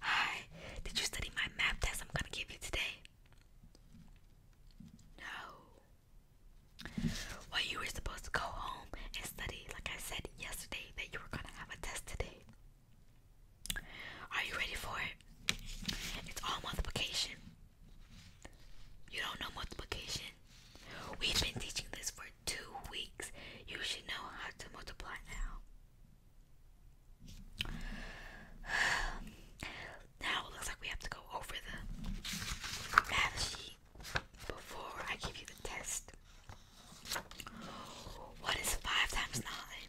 Hi, did you study my map test I'm gonna give you today? No. Well, you were supposed to go home and study, like I said yesterday, that you were gonna have a test today. Are you ready for it? It's all multiplication. You don't know multiplication? We've been teaching this for two weeks. You should know how to multiply now. Now it looks like we have to go over the math sheet before I give you the test. What is five times nine?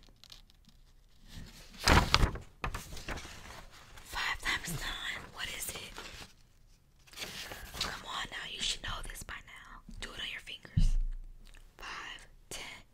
Five times nine, what is it? Come on now, you should know this by now. Do it on your fingers. Five, ten,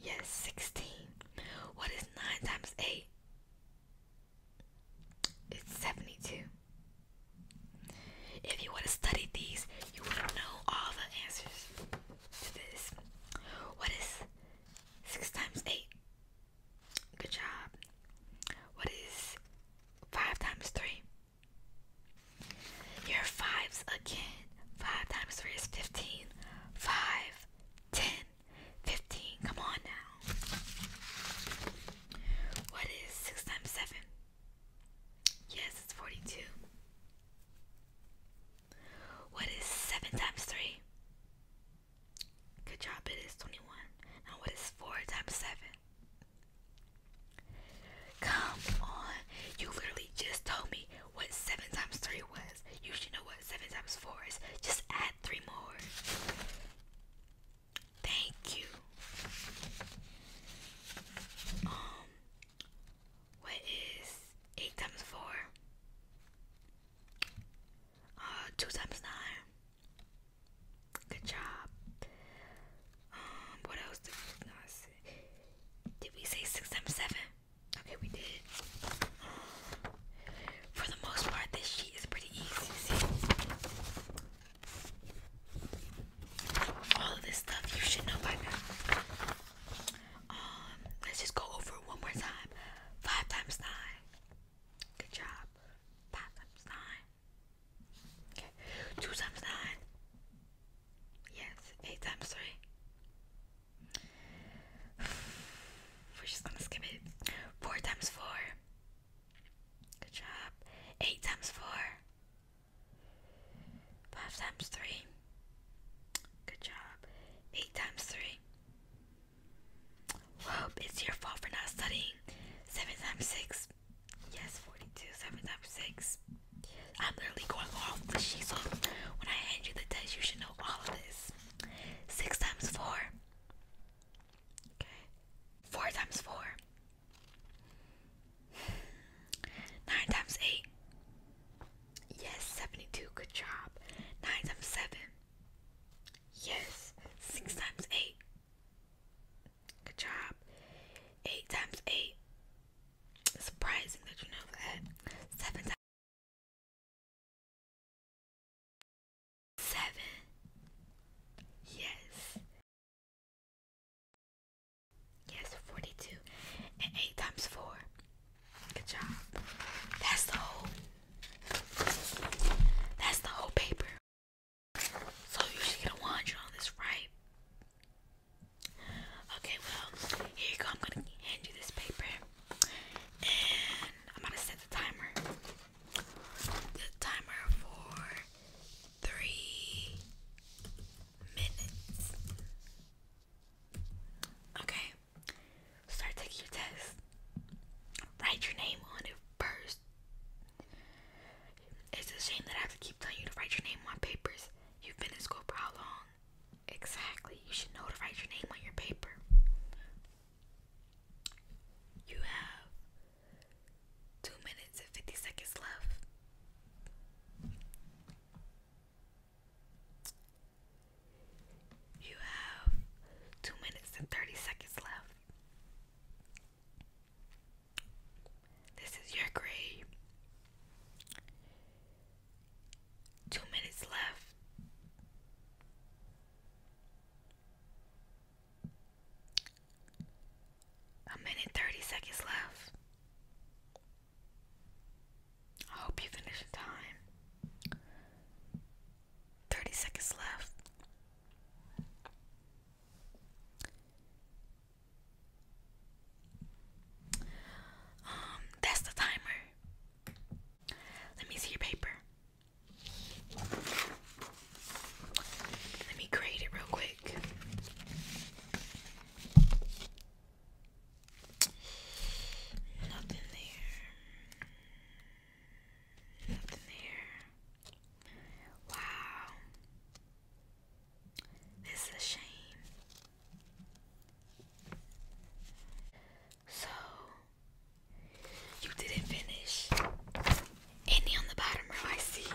Yes, 16. What is 9 times 8? It's 72. If you would have studied these, you would have known all the answers to this. What is 6 times 8? Good job. What is 5 times 3? Your fives again. Five times three is fifteen. Five, ten, fifteen. Come on now. What is six times seven? Yes, it's forty-two. What is seven times three? Good job, it is twenty-one. Now what is four times seven? Come on. You literally just told me what 7 times 3 was. You should know what 7 times 4 is. Just add 3 more. Thank you. Um, what is 8 times 4? Uh, 2 times 9. Good job. Um, what else did we not say? Did we say six times seven? Okay, we did. For the most part, this sheet is pretty easy. all of this stuff you should know by now. Um, let's just go over one more time. Five times nine. Good job. Five times nine. Okay. Two times nine. Yes, eight times three. We're just gonna skip it. Four times four. Good job. Eight times four. Five times three. Good job. Eight times three. Well, it's your fault for not studying. Seven times six. Yes, forty-two. Seven times six. I'm literally going off the sheets When I hand you the test, you should know all of this. Six times four. Okay. Four times four. Nine times eight. Yes, 72. Good job. Nine times seven. Yes. Six times eight. Good job. Eight times eight surprising that you know that. Seven times. Seven. Yes. Yes, 42. 8 times 4. Good job. That's the whole. That's the whole paper. So you should get a 100 on this, right? Okay, well, here you go. I'm gonna hand you this paper, and I'm gonna set the timer. The timer for three minutes. Okay, start taking your test. Write your name on it first. It's a shame that I have to keep telling you to write your name on papers. You've been in school for how long? Exactly. You should know to write your name on your paper. You have two minutes and fifty seconds left. You have two minutes and thirty seconds left. This is your grave. Two minutes left. A minute 30 seconds left. I hope you finish in time. 30 seconds left. Um, that's the timer. Let me see your paper. Let me grade it real quick. Nothing there. Nothing there. Wow. This is a shame. So, you didn't finish any on the bottom row, I see.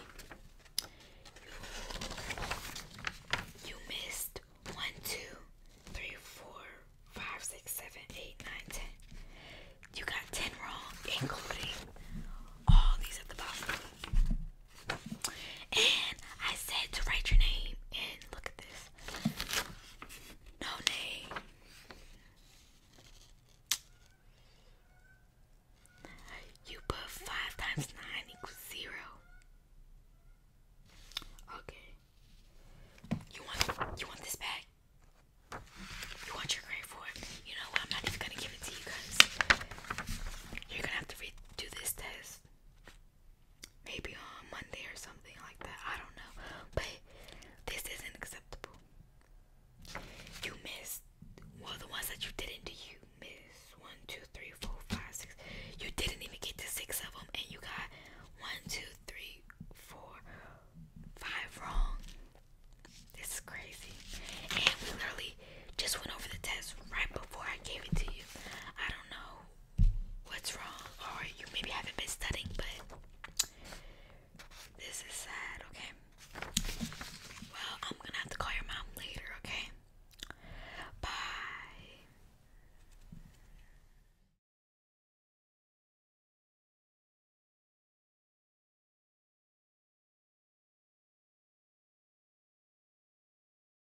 You, missed 1, You got 10 wrong, including all these at the bottom. And I said to write your name. And look at this. No name. You put 5 times 9 equals 0. Okay. You want you want this back? You want your grade for it? You know what? I'm not even gonna give it to you guys. You're gonna have to redo this test maybe on Monday or something like that. I don't know. But this isn't acceptable. You missed well the ones that you didn't do you missed one, two, three, four, five, six. You didn't even get to six of them and you got one, two, three, four, five wrong. This is crazy. And we literally just went over the test right before I gave it to you. I don't know what's wrong, or you maybe haven't been studying, but this is sad, okay? Well, I'm gonna have to call your mom later, okay? Bye.